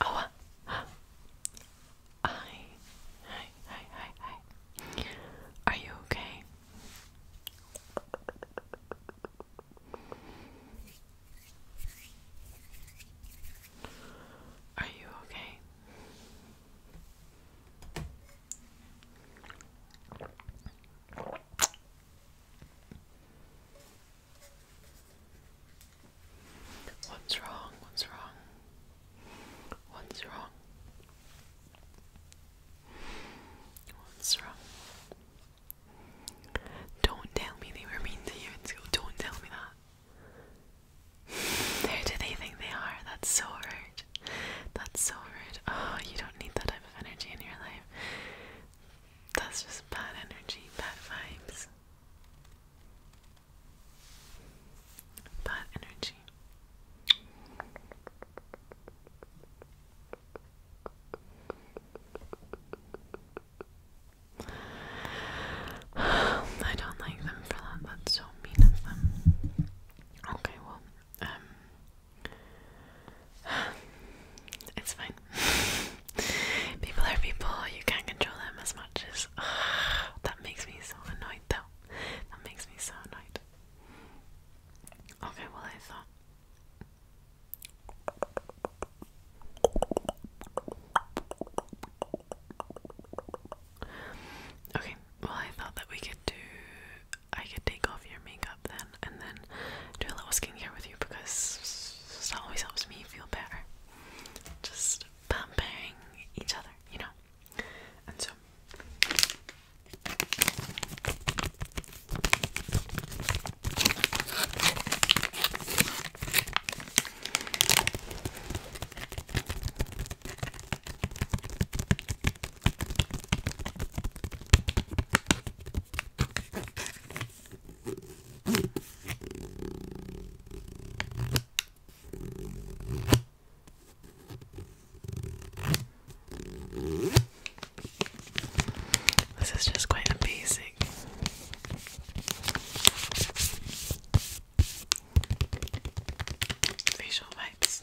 Oh, uh, hi, hi, hi, hi, hi. Are you okay? Are you okay? What's wrong? What's wrong? What's wrong? What's wrong? Don't tell me they were mean to you in school. Don't tell me that. Who do they think they are? That's so rude. That's so rude. Oh, you don't need that type of energy in your life. That's just bad energy, bad vibes. Bad energy. I don't like them for that. That's so mean of them. Okay, well, um, It's fine. people are people, you can't control them as much as. that makes me so annoyed though. That makes me so annoyed. Okay, well, I thought. Okay, well, I thought that we could do. I could take off your makeup then and then do a little skincare with you because that always helps me feel better. Just pampering each other, you know? And so. This is just quite amazing. Facial wipes.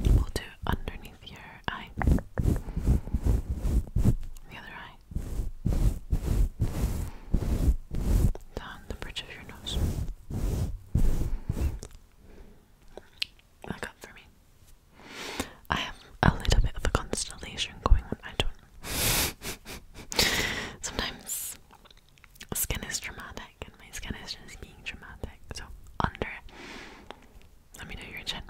We'll do underneath your eye, the other eye, down the bridge of your nose. Look up for me. I have a little bit of a constellation going on. I don't. Sometimes skin is dramatic, and my skin is just being dramatic. So under, let me know your chin.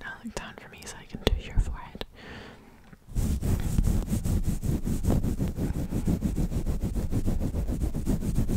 Now look down for me so I can do your forehead.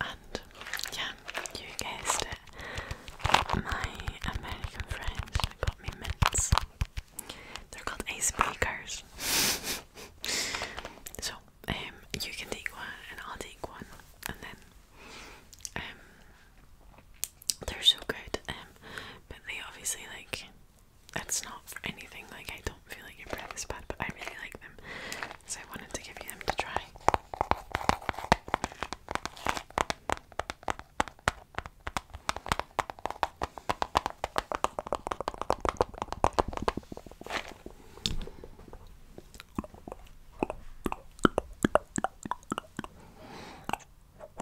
And yeah, you guessed it. My American friends got me mints. They're called ice speakers. so um, you can take one and I'll take one, and then um, they're so good. Um, but they obviously like that's not for anything, like, I don't feel like your breath is bad, but I really like them, so I wanted to give you them to try.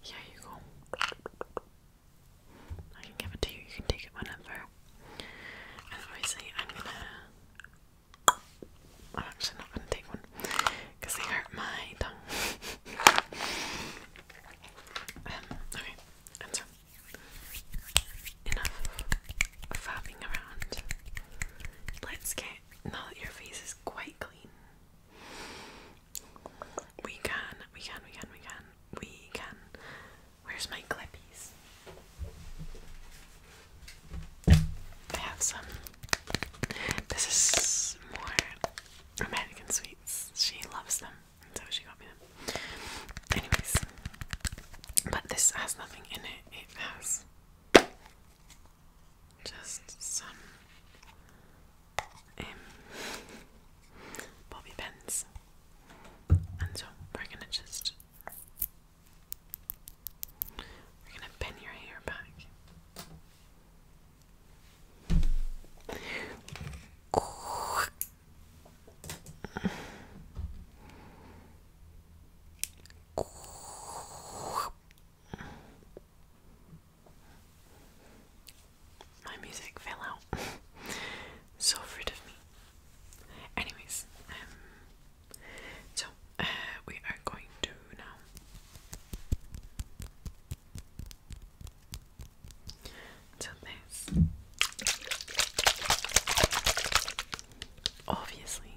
Here you go. I can give it to you, you can take it whenever. And obviously, I'm gonna. I'm actually not gonna take one because they hurt my tongue. Um, okay, Enough fapping around. Let's get, now that your face is quite clean, we can, we can, we can, we can, we can. Where's my clippies? I have some. This is more American sweets. She loves them, so she got me them. Anyways, but this has nothing in it. It has just some um, bobby pins. And so we're gonna just we're gonna pin your hair back. My music fell out. so rid of me. Anyways, um, so uh, we are going to now. So this obviously,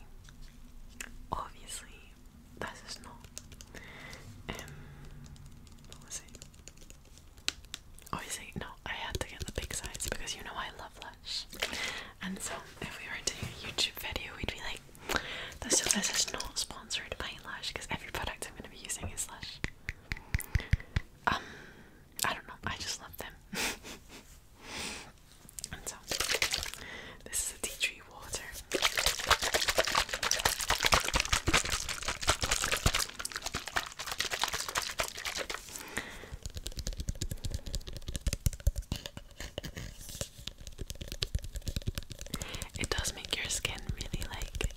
obviously, that's just not. Um, what was it? Obviously, no, I had to get the big size because you know I love Lush. And so, if we were doing a YouTube video, we'd be like, this just this is not sponsored by Lush because every product I'm going to be using is Lush. Um, I don't know, I just love them. this is a tea tree water. It does make your skin really like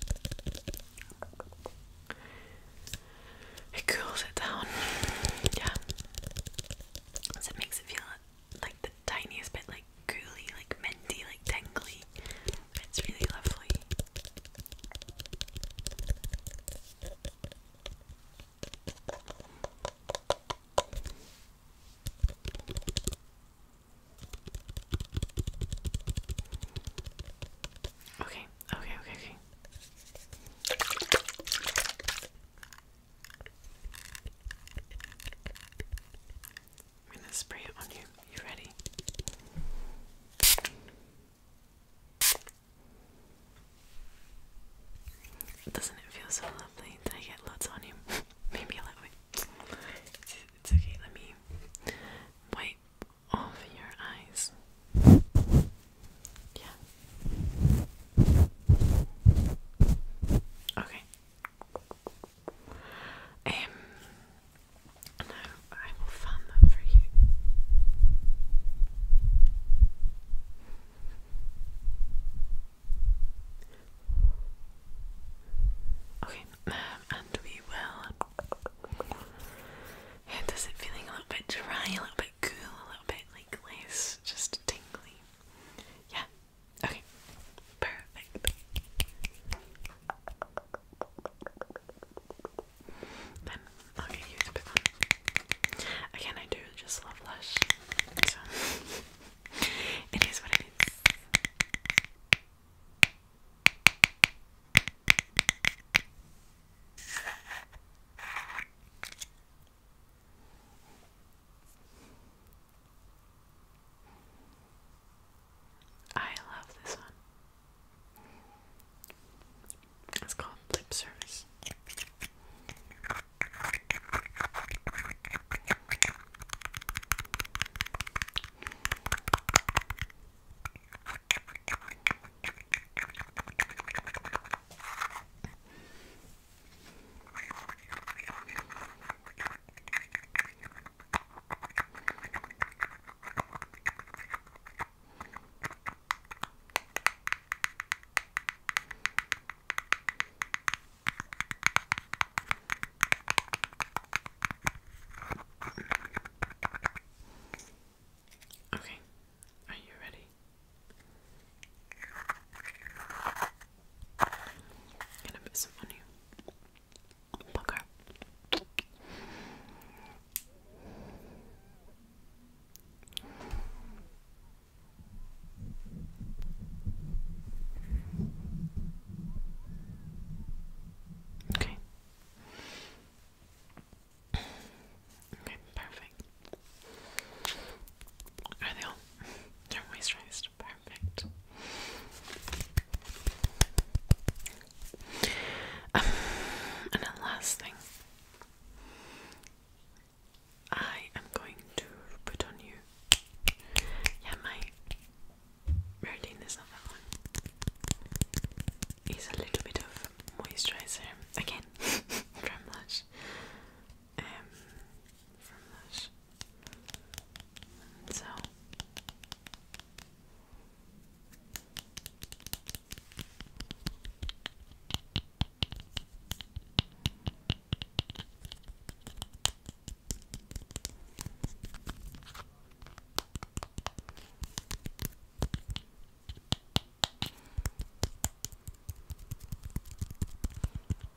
it cools it down, yeah, it makes it feel like the tiniest bit like gooey, like minty, like tingly. It's really lovely. Okay, okay, okay, okay. I'm gonna spray it on you. You ready? Doesn't it feel so lovely that I get lots on you? Maybe a little bit. it's okay, let me wipe off your eyes. Yeah, Okay. Um I will fan that for you. Okay, um, and we will. Um, how does it feeling a little bit dry, a little bit cool, a little bit like less just tingly? Yeah, Okay, perfect. Then i Again, I do just love Lush, so it is what it is. I love this one. It's called lip Okay, are you ready? Get a bit some money. Bugger. Okay. Okay, perfect. Are they all your moisturizer is perfect. Um, and then last thing, I am going to put on you. Yeah, my routine is not that one. It's a little bit of moisturizer again from um, from so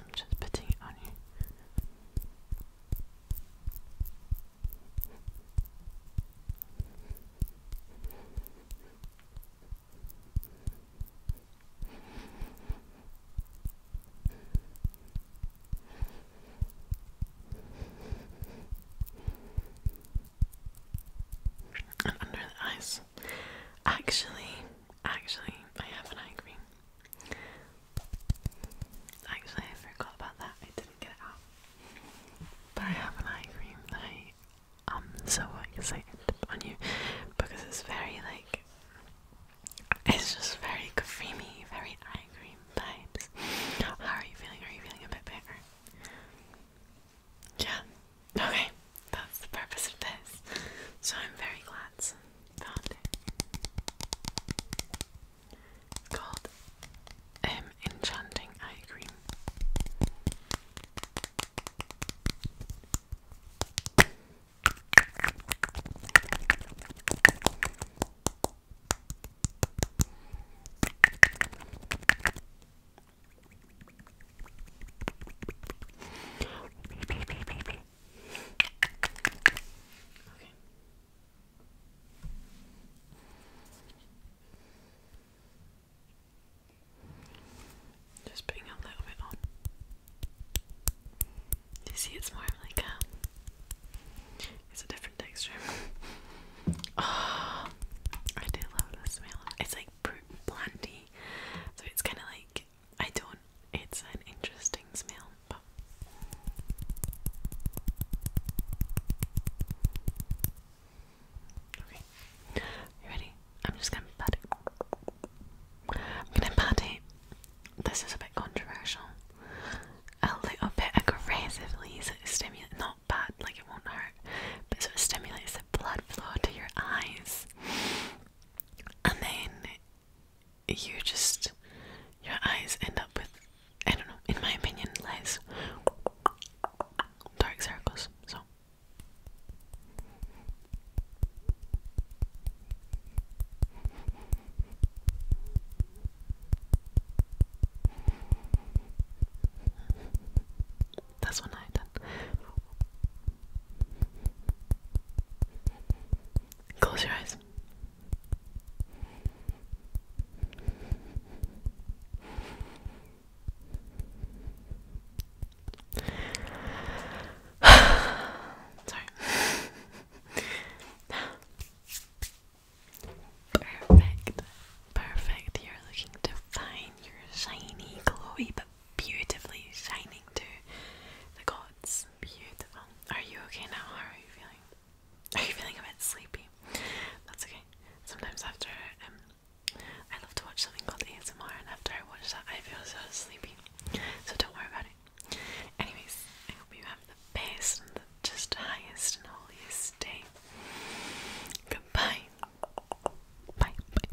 I'm just putting it on you. And under the eyes. Actually, actually, I have an eye cream. Actually, I forgot about that. I didn't get it out. But I have an eye cream that I am um, so excited on you because it's very like it's just very creamy, very eye cream vibes. How are you feeling? Are you feeling a bit better? Yeah. Okay. That's the purpose of this. So I'm very glad I found it. called um, Enchanting Eye Cream. Just putting a little bit on. you see it's more like a um, it's a different texture. oh, I do love the smell. It's like planty. So it's kind of like I don't. It's an interesting smell, but. Okay, you ready? I'm just gonna pat I'm gonna pat This is a bit controversial. A little bit aggressively, so it stimulates, not bad, like it won't hurt, but it stimulates blood flow to your eyes. And then you just, your eyes end up with, I don't know, in my opinion, less dark circles. So. That's one I done. Close your eyes. Perfect. Perfect. You're looking divine. You're shiny, glowy, beautifully shining to the gods. Beautiful. Are you okay now? How are you feeling? Are you feeling a bit sleepy? That's okay. Sometimes after um, I love to watch something called ASMR, and after I watch that, I feel so sleepy. So don't worry about it. Anyways, I hope you have the best and the just highest and holiest day. Goodbye. Bye. Bye.